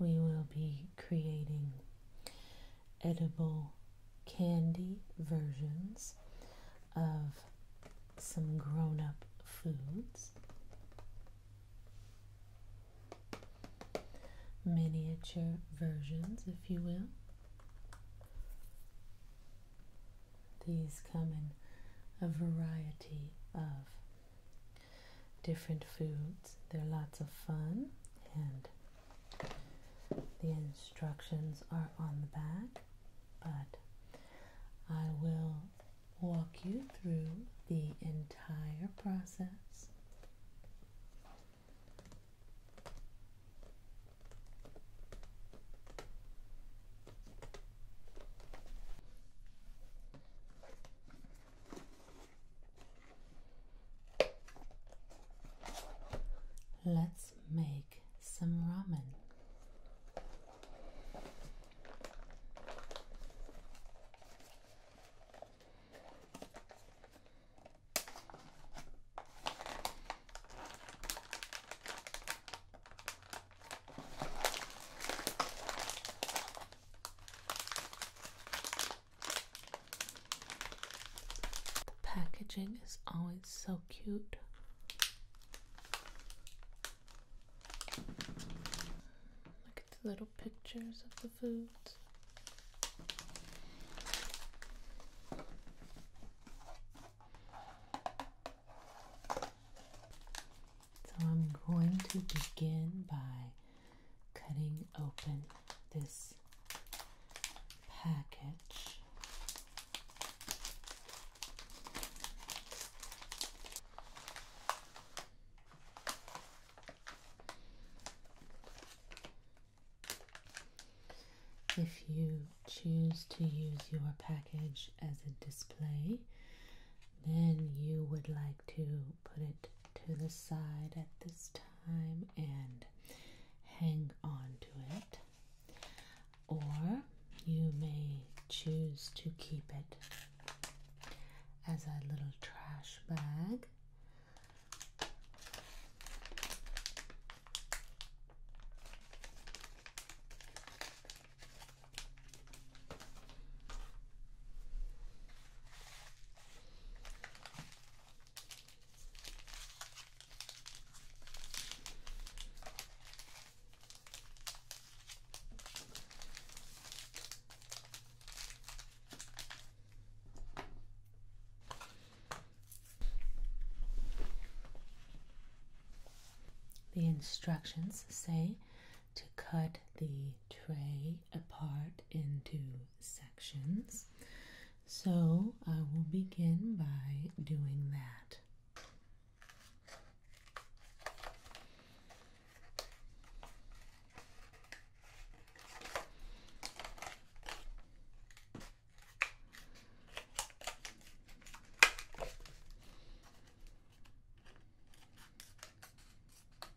We will be creating edible candy versions of some grown up foods, miniature versions, if you will. These come in a variety of different foods. They're lots of fun, and the instructions are on the back, but I will walk you through the entire process. Let's make some ramen. The Packaging is always so cute. Look at the little pictures of the foods. So I'm going to begin by cutting open this package. If you choose to use your package as a display, then you would like to put it to the side at this time and hang on to it, or you may choose to keep it as a little trash bag. The instructions say to cut the tray apart into sections. So I will begin by doing that.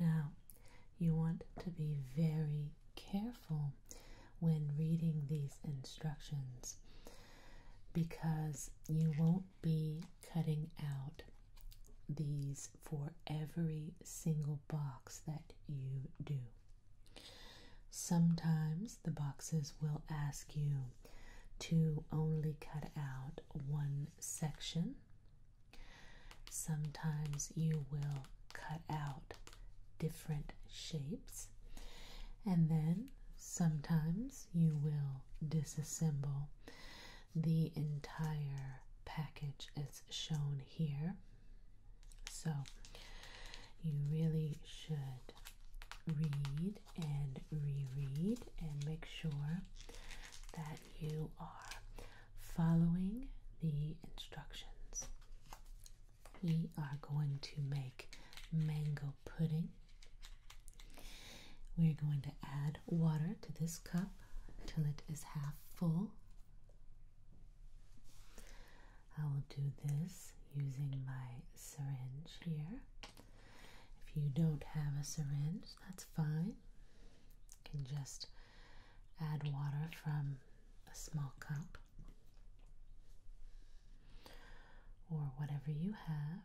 Now, you want to be very careful when reading these instructions because you won't be cutting out these for every single box that you do. Sometimes the boxes will ask you to only cut out one section. Sometimes you will cut out different shapes. And then sometimes you will disassemble the entire package is shown here. So you really should read and reread and make sure that you are following the instructions. We are going to make mango pudding we're going to add water to this cup until it is half full. I will do this using my syringe here. If you don't have a syringe, that's fine. You can just add water from a small cup or whatever you have.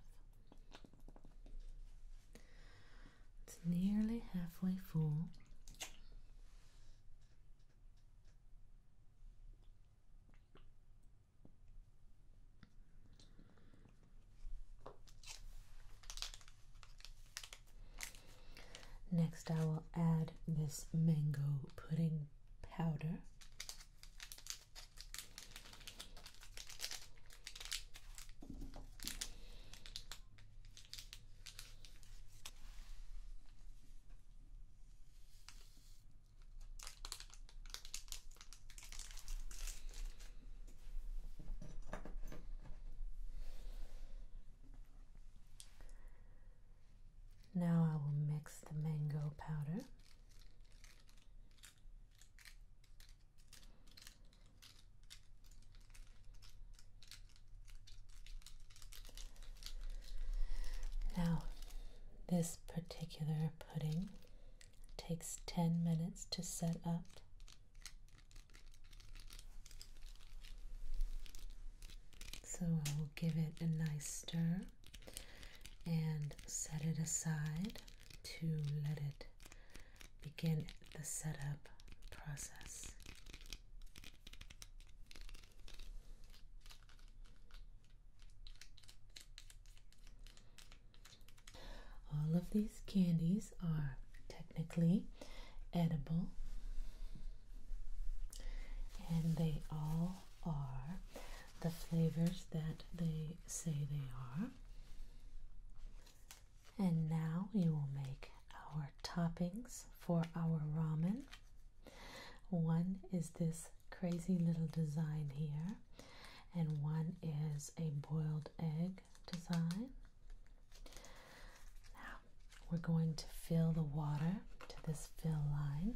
It's nearly halfway full. Next, I will add this mango pudding powder. Now I will mix the mango powder now, this particular pudding takes 10 minutes to set up. So I will give it a nice stir and set it aside to let it begin the setup process. All of these candies are technically edible, and they all are the flavors that they say they are. And now we will make our toppings for our ramen. One is this crazy little design here, and one is a boiled egg design. Now we're going to fill the water to this fill line.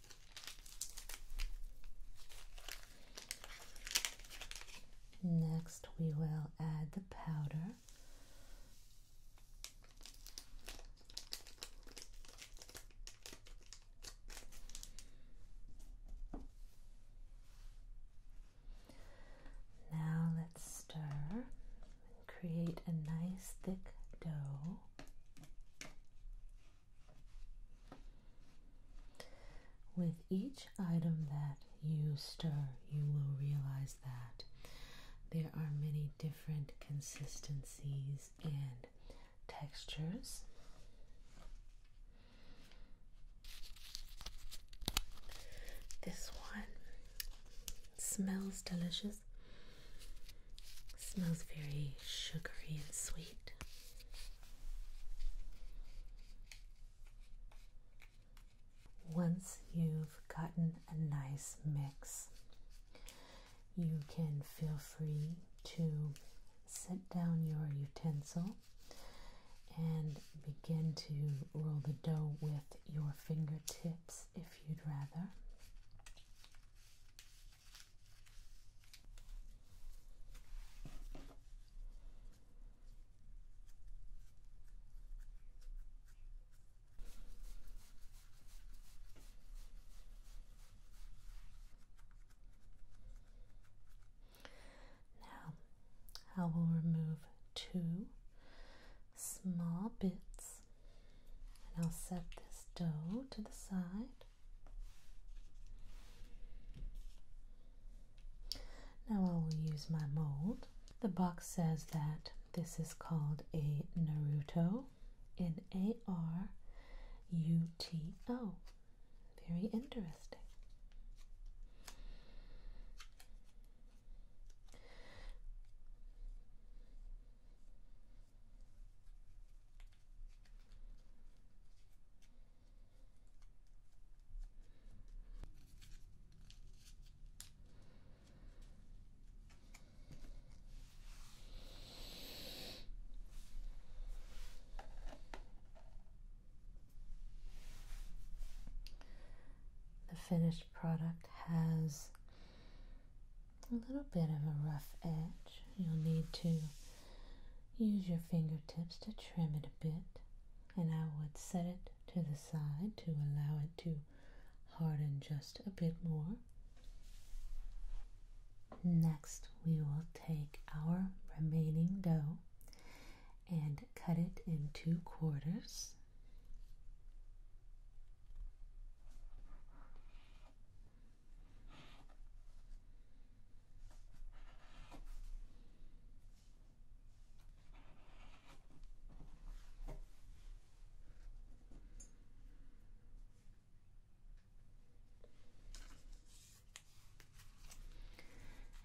Next, we will add the powder. Now, let's stir and create a nice thick dough. With each item that you stir, you will realize that there are many different consistencies and textures. This one smells delicious. Smells very sugary and sweet. Once you've gotten a nice mix, you can feel free to set down your utensil and begin to roll the dough with your fingertips if you'd rather. Now, I will remove two small bits and I'll set this dough to the side. Now I will use my mold. The box says that this is called a Naruto in A R U T O. Very interesting. The finished product has a little bit of a rough edge. You'll need to use your fingertips to trim it a bit, and I would set it to the side to allow it to harden just a bit more. Next, we will take our remaining dough and cut it in two quarters.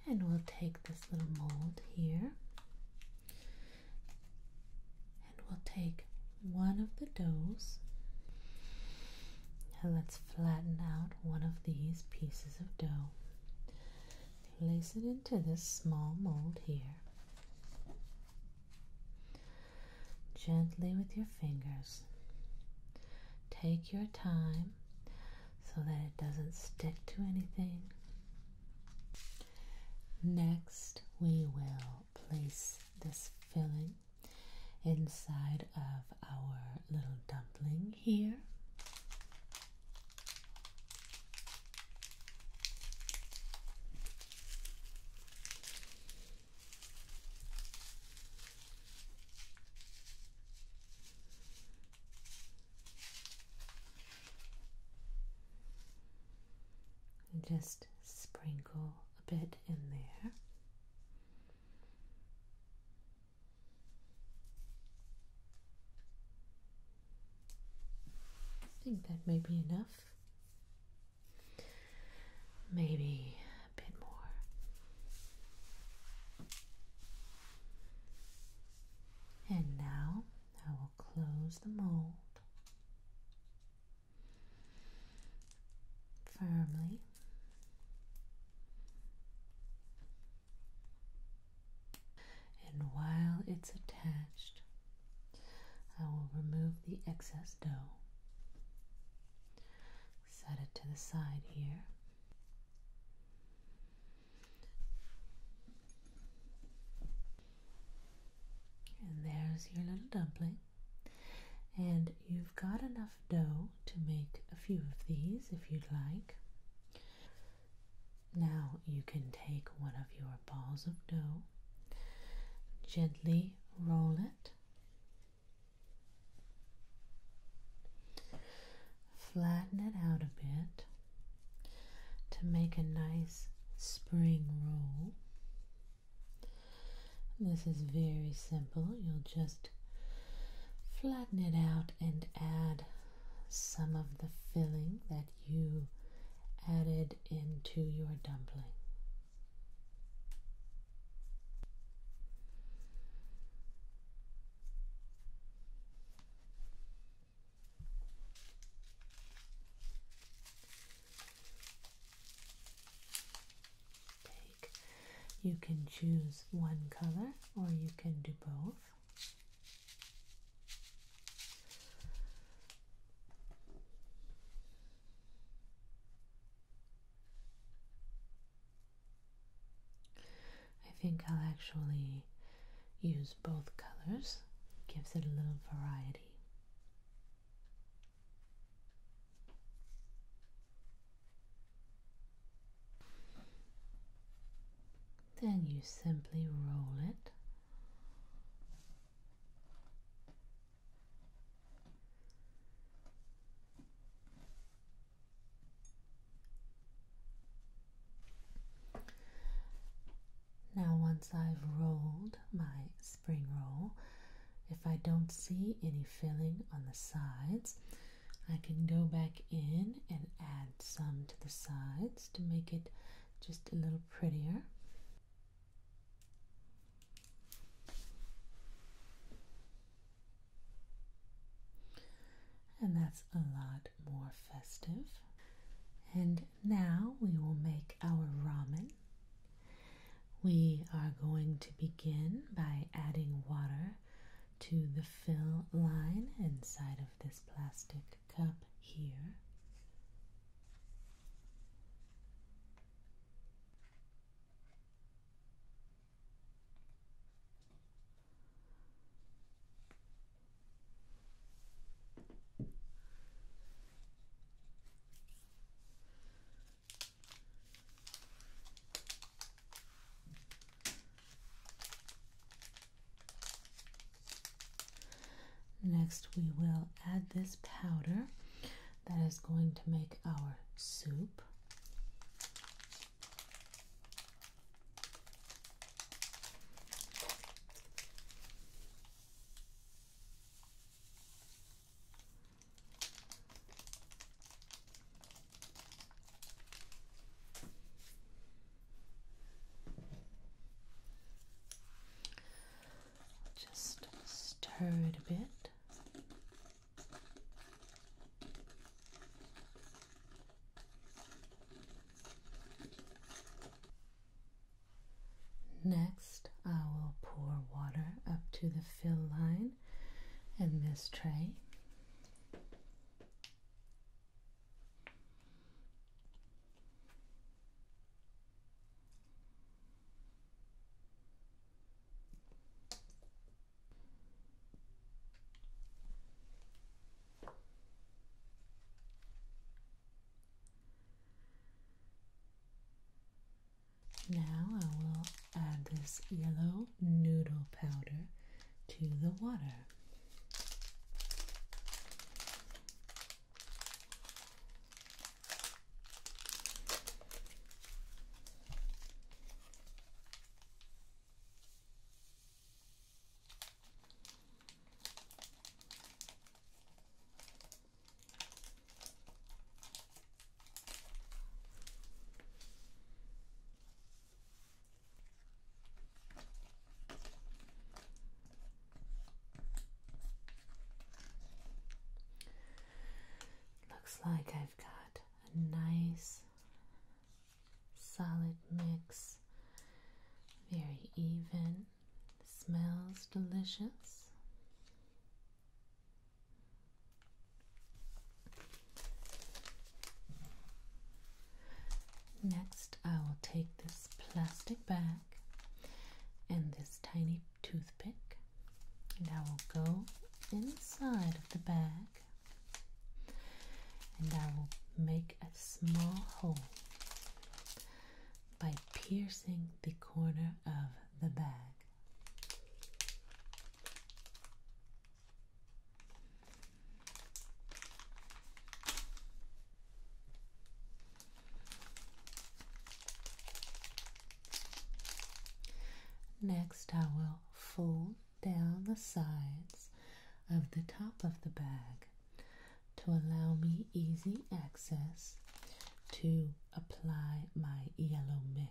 And we'll take this little mold here and we'll take one of the doughs. and let's flatten out one of these pieces of dough. Place it into this small mold here. Gently with your fingers. Take your time so that it doesn't stick to anything. Next, we will place this filling inside of our little dumpling here. just sprinkle a bit in there. I think that may be enough. Maybe a bit more. And now I will close the mold firmly. And while it's attached, I will remove the excess dough. Set it to the side here. And there's your little dumpling. And you've got enough dough to make a few of these if you'd like. Now you can take one of your balls of dough, gently roll it, flatten it out a bit to make a nice spring roll. This is very simple. You'll just flatten it out and add some of the filling that you added into your dumpling take. You can choose one color or you can do both. I think I'll actually use both colors, gives it a little variety. Then you simply roll it now once I've rolled my spring roll if I don't see any filling on the sides, I can go back in and add some to the sides to make it just a little prettier. And that's a lot more festive. And now we will make our ramen. We are going to begin by adding water to the fill line inside of this plastic cup here. Next, we will add this powder that is going to make our soup. Just stir it a bit. Next, I will pour water up to the fill line in this tray. Now I will add this yellow noodle powder to the water. Looks like I've got a nice solid mix, very even, smells delicious. Next, I will take this plastic bag and this tiny toothpick, and I will go inside of the bag and I will make a small hole by piercing the corner of the bag. Next, I will fold down the sides of the top of the bag to allow me easy access to apply my yellow mix.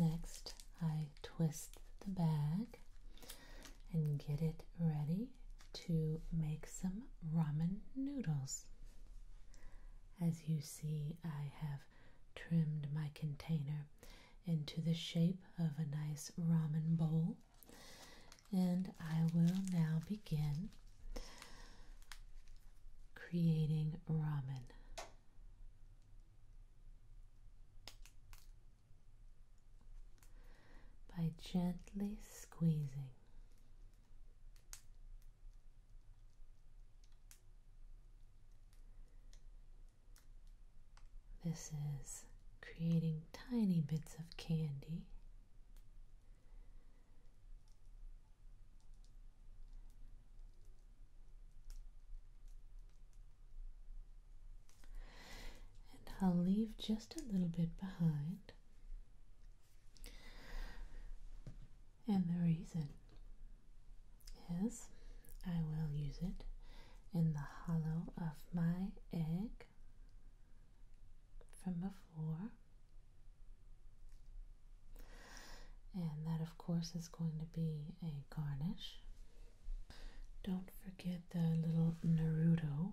Next, I twist the bag and get it ready to make some ramen noodles. As you see, I have trimmed my container into the shape of a nice ramen bowl. And I will now begin creating ramen. By gently squeezing this is creating tiny bits of candy. And I'll leave just a little bit behind. And the reason is I will use it in the hollow of my egg from before. And that, of course, is going to be a garnish. Don't forget the little Naruto.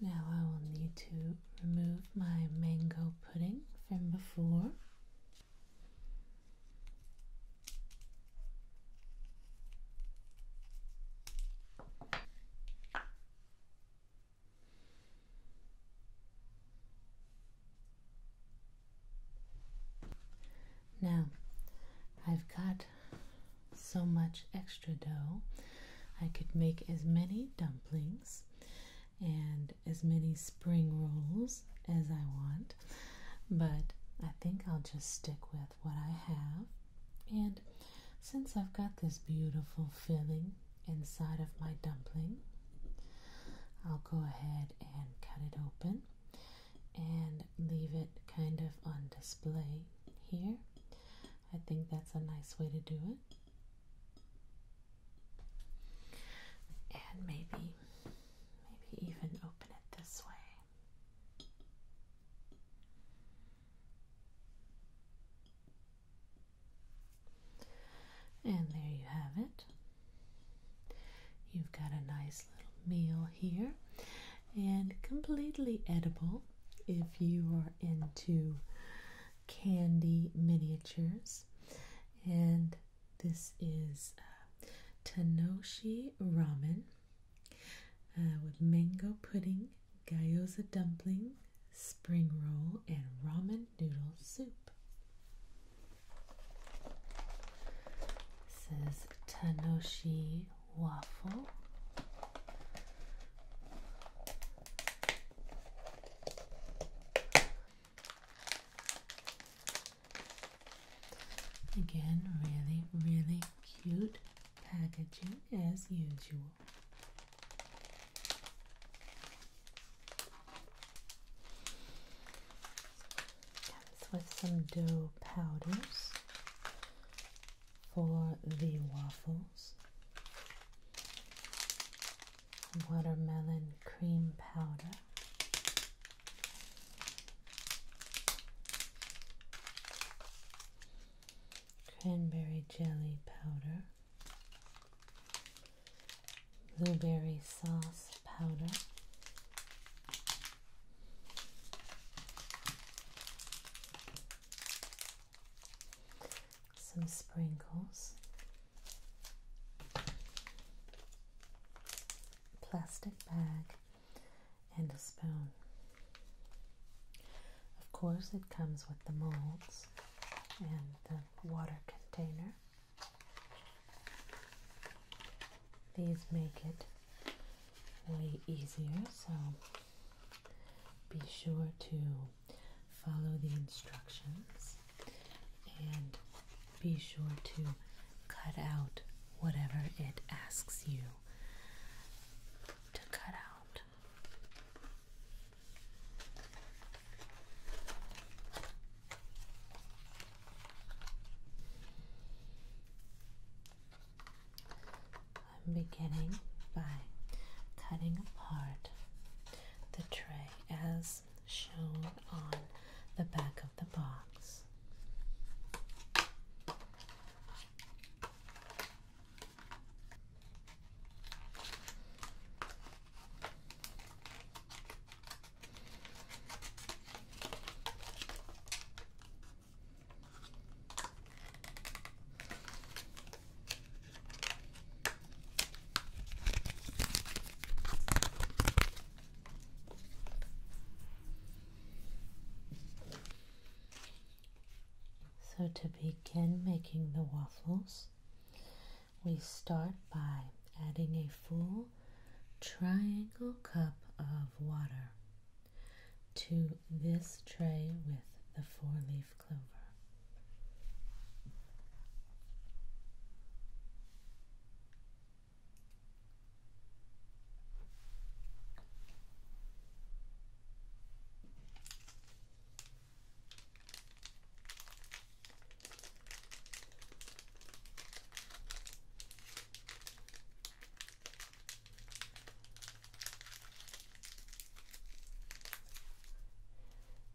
Now I will need to remove my mango pudding from before. Now, I've got so much extra dough, I could make as many dumplings and as many spring rolls as I want, but I think I'll just stick with what I have. And since I've got this beautiful filling inside of my dumpling. I'll go ahead and cut it open and leave it kind of on display here. I think that's a nice way to do it. And maybe, maybe even open it this way. And there you have it. You've got a nice little meal here and completely edible if you are into candy miniatures. And this is uh, Tanoshi ramen uh, with mango pudding, gyoza dumpling, spring roll, and ramen noodle soup. This is Tanoshi waffle. Again, really, really cute packaging as usual. Comes with some dough powders for the waffles, watermelon cream powder. Cranberry jelly powder, blueberry sauce powder. Some sprinkles, plastic bag, and a spoon. Of course, it comes with the molds and the water container. These make it way easier, so be sure to follow the instructions and be sure to cut out whatever it asks you to cut out. I'm beginning by cutting apart the tray as shown on the back of the box. So, to begin making the waffles, we start by adding a full triangle cup of water to this tray with the four leaf clover.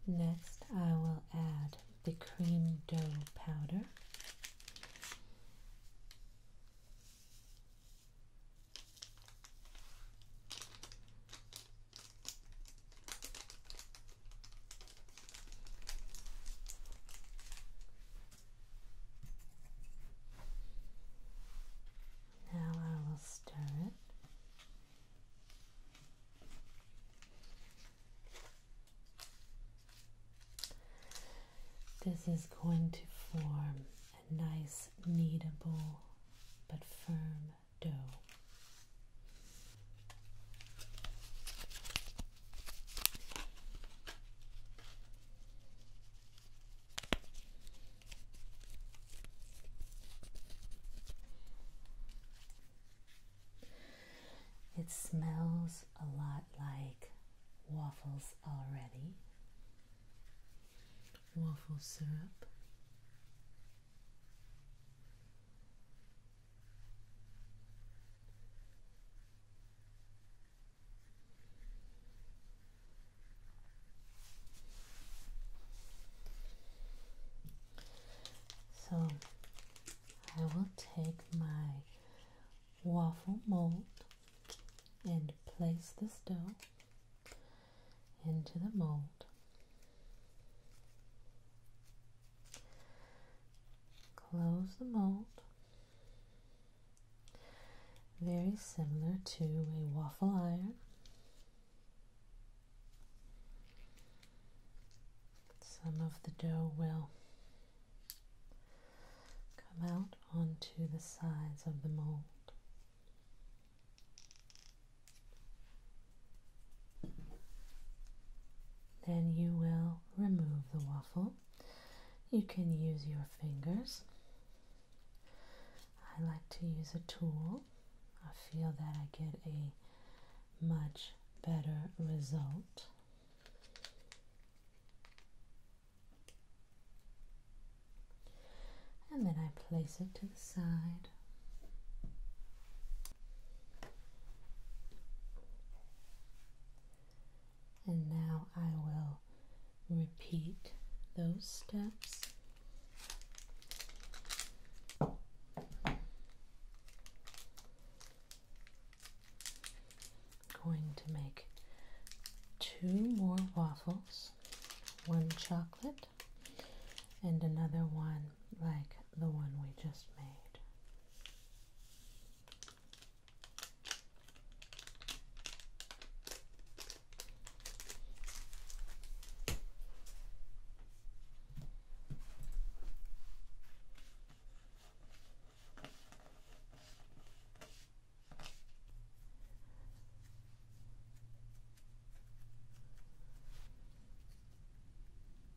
Next, I will add the cream dough powder. Now I will stir it. This is going to form a nice kneadable but firm dough. It smells a lot like waffles already. Waffle syrup. So I will take my waffle mold and place the dough into the mold Close the mold. Very similar to a waffle iron. Some of the dough will come out onto the sides of the mold. Then you will remove the waffle. You can use your fingers. I like to use a tool. I feel that I get a much better result. And then I place it to the side. And now I will repeat those steps. Going to make two more waffles, one chocolate and another one like the one we just made.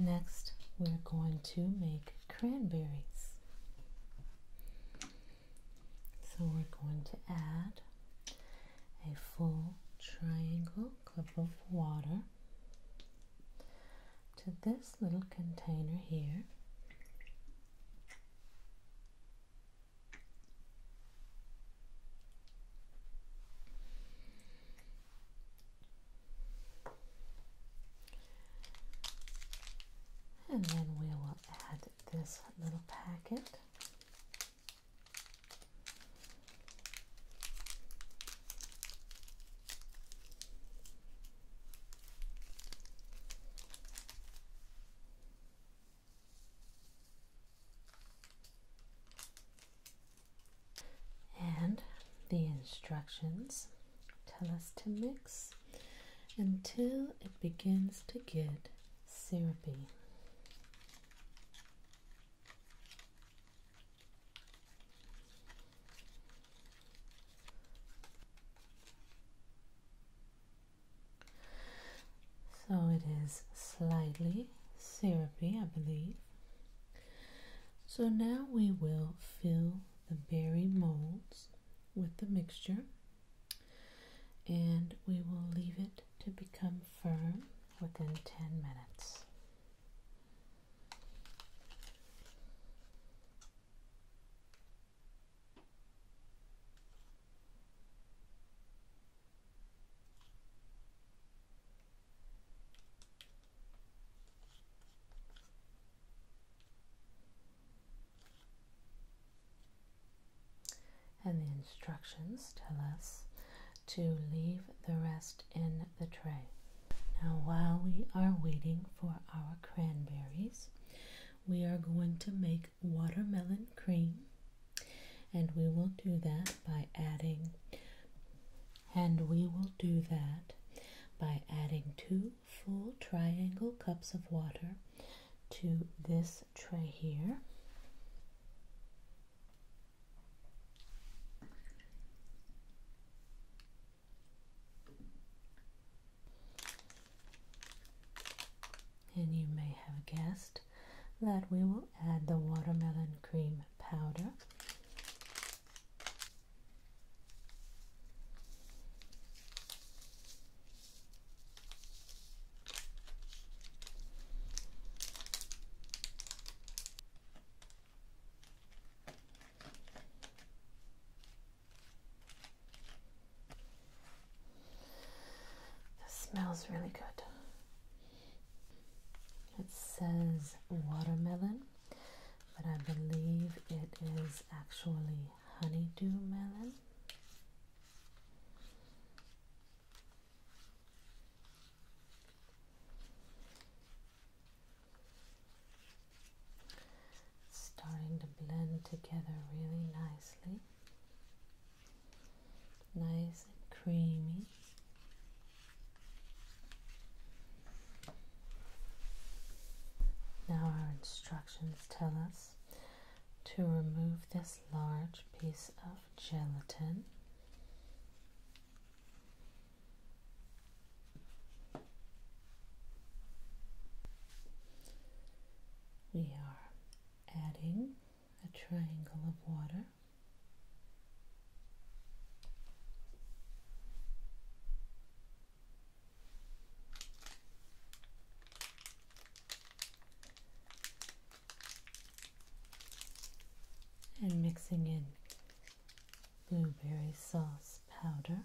Next, we're going to make cranberries. So we're going to add a full triangle cup of water to this little container here. And then we will add this little packet. And the instructions tell us to mix until it begins to get syrupy. So it is slightly syrupy, I believe. So now we will fill the berry molds with the mixture and we will leave it to become firm within 10 minutes. And the instructions tell us to leave the rest in the tray. Now, while we are waiting for our cranberries, we are going to make watermelon cream. And we will do that by adding, and we will do that by adding two full triangle cups of water to this tray here. And you may have guessed that we will add the watermelon cream powder. This smells really good. It says watermelon, but I believe it is actually honeydew melon. starting to blend together really nicely nice and creamy. Now, our instructions tell us to remove this large piece of gelatin. We are adding a triangle of water. And mixing in blueberry sauce powder.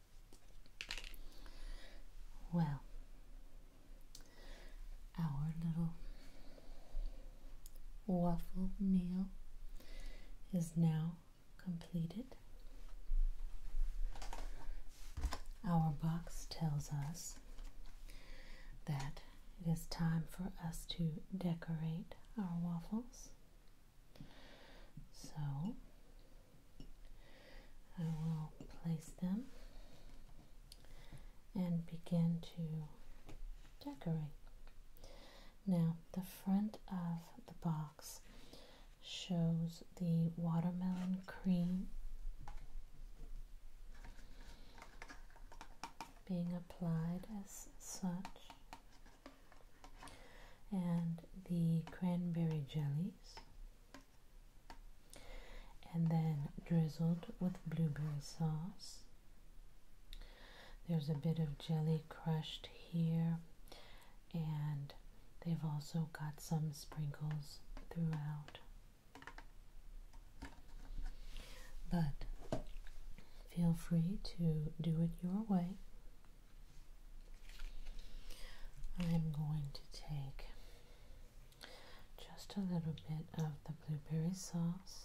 Well, our little waffle meal is now completed. Our box tells us that it is time for us to decorate our waffles. So I will place them and begin to decorate. Now, the front of the box shows the watermelon cream being applied as such and the cranberry jellies and then drizzled with blueberry sauce. There's a bit of jelly crushed here and they've also got some sprinkles throughout. But feel free to do it your way. I'm going to take just a little bit of the blueberry sauce.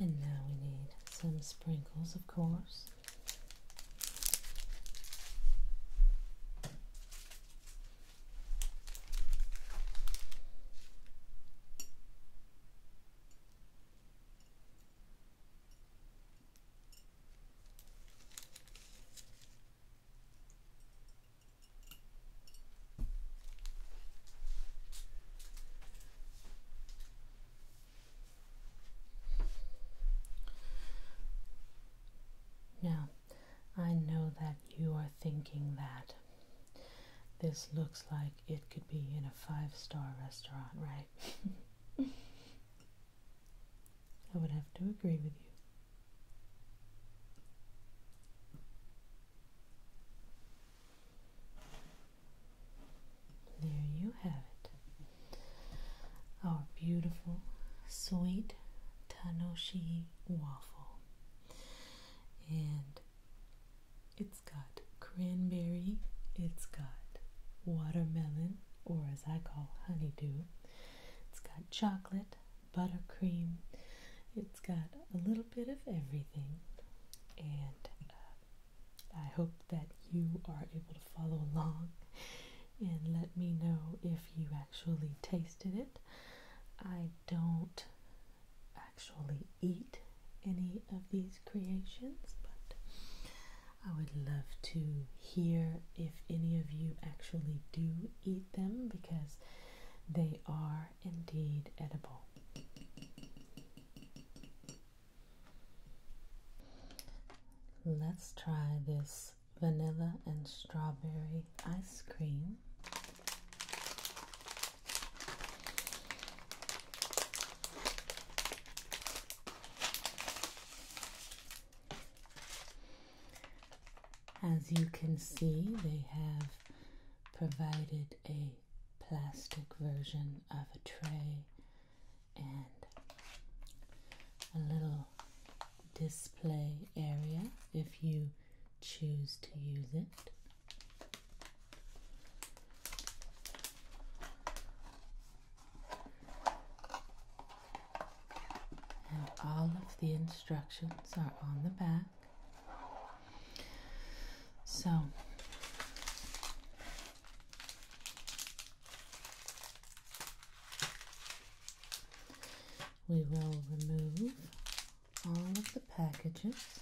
And now we need some sprinkles, of course. Now, I know that you are thinking that this looks like it could be in a five star restaurant, right? I would have to agree with you. There you have it. Our beautiful, sweet Tanoshi waffle. And it's got cranberry, it's got watermelon, or as I call honeydew, it's got chocolate, buttercream, it's got a little bit of everything. And uh, I hope that you are able to follow along and let me know if you actually tasted it. I don't actually eat any of these creations, but I would love to hear if any of you actually do eat them because they are indeed edible. Let's try this vanilla and strawberry ice cream. As you can see, they have provided a plastic version of a tray and a little display area if you choose to use it. And all of the instructions are on the back. So, we will remove all of the packages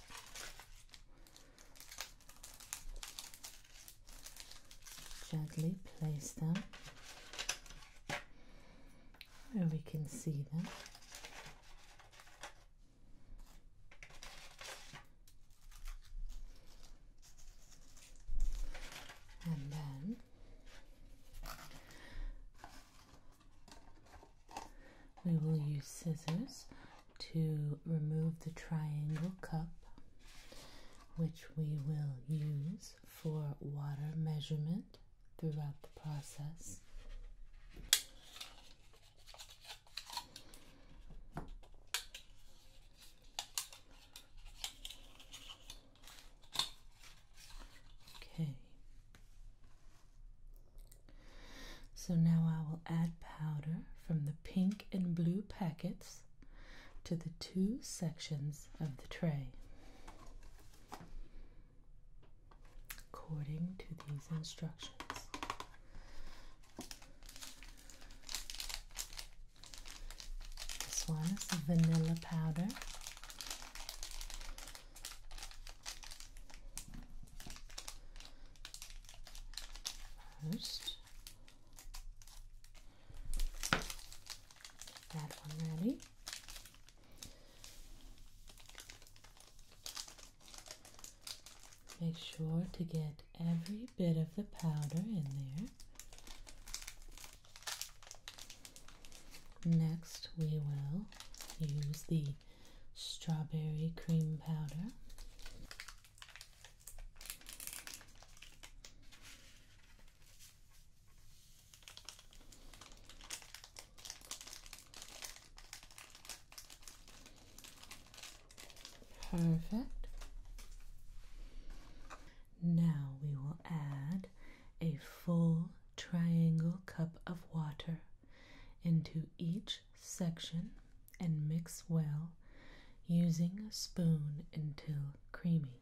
Gently place them where we can see them. And then we will use scissors to remove the triangle cup, which we will use for water measurement throughout the process. Okay. So now I will add powder from the pink and blue packets to the two sections of the tray. According to these instructions, this one is vanilla powder. First, that one ready. Make sure to get every bit of the powder in there. Next, we will use the strawberry cream powder. Perfect. Now we will add a full triangle cup of water into each section and mix well using a spoon until creamy.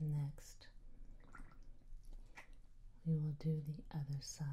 Next, we will do the other side.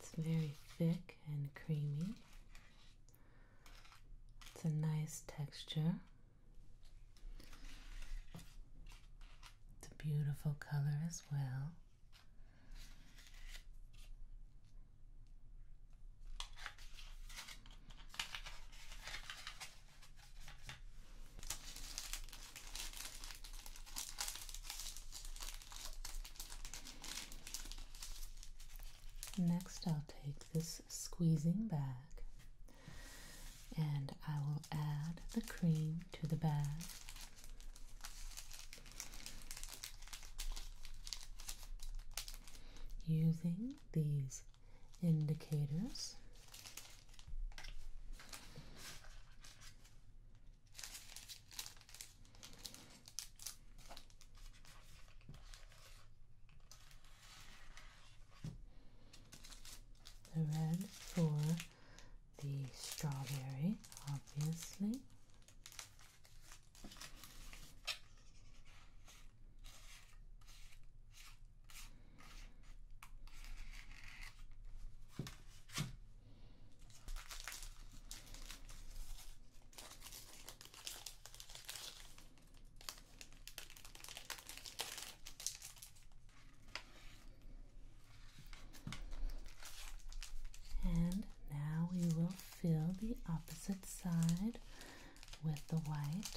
It's very thick and creamy. It's a nice texture. It's a beautiful color as well. Next, I'll take this squeezing bag and I will add the cream to the bag. Using these indicators, the red for the strawberry, obviously. And now we will fill the opposite side with the white.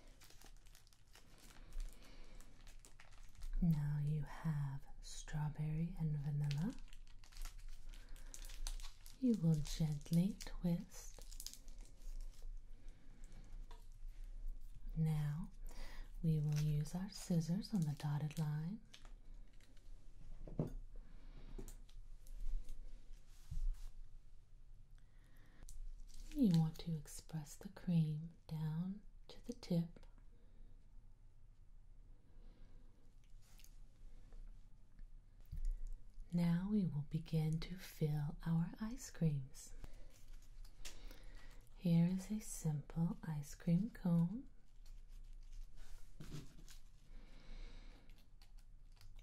Now you have strawberry and vanilla. You will gently twist. Now we will use our scissors on the dotted line. You want to express the cream down to the tip. Now we will begin to fill our ice creams. Here is a simple ice cream cone.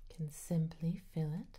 You can simply fill it.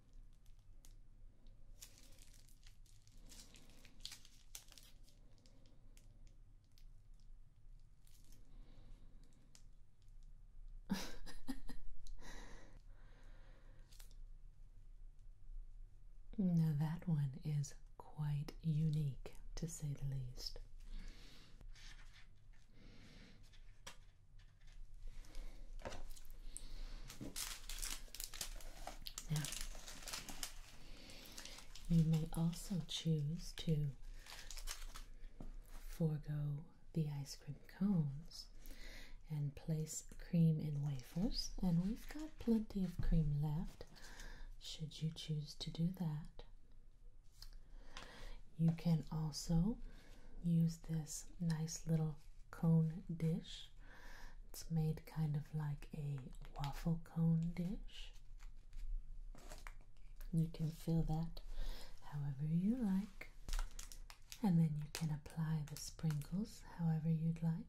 now, that one is quite unique to say the least you may also choose to forego the ice cream cones and place cream in wafers, and we've got plenty of cream left should you choose to do that. You can also use this nice little cone dish. It's made kind of like a waffle cone dish. You can fill that however you like, and then you can apply the sprinkles however you'd like.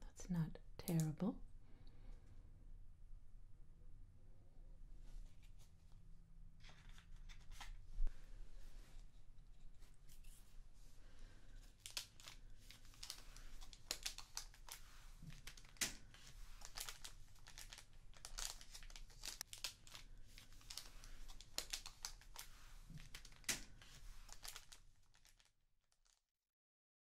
That's not terrible.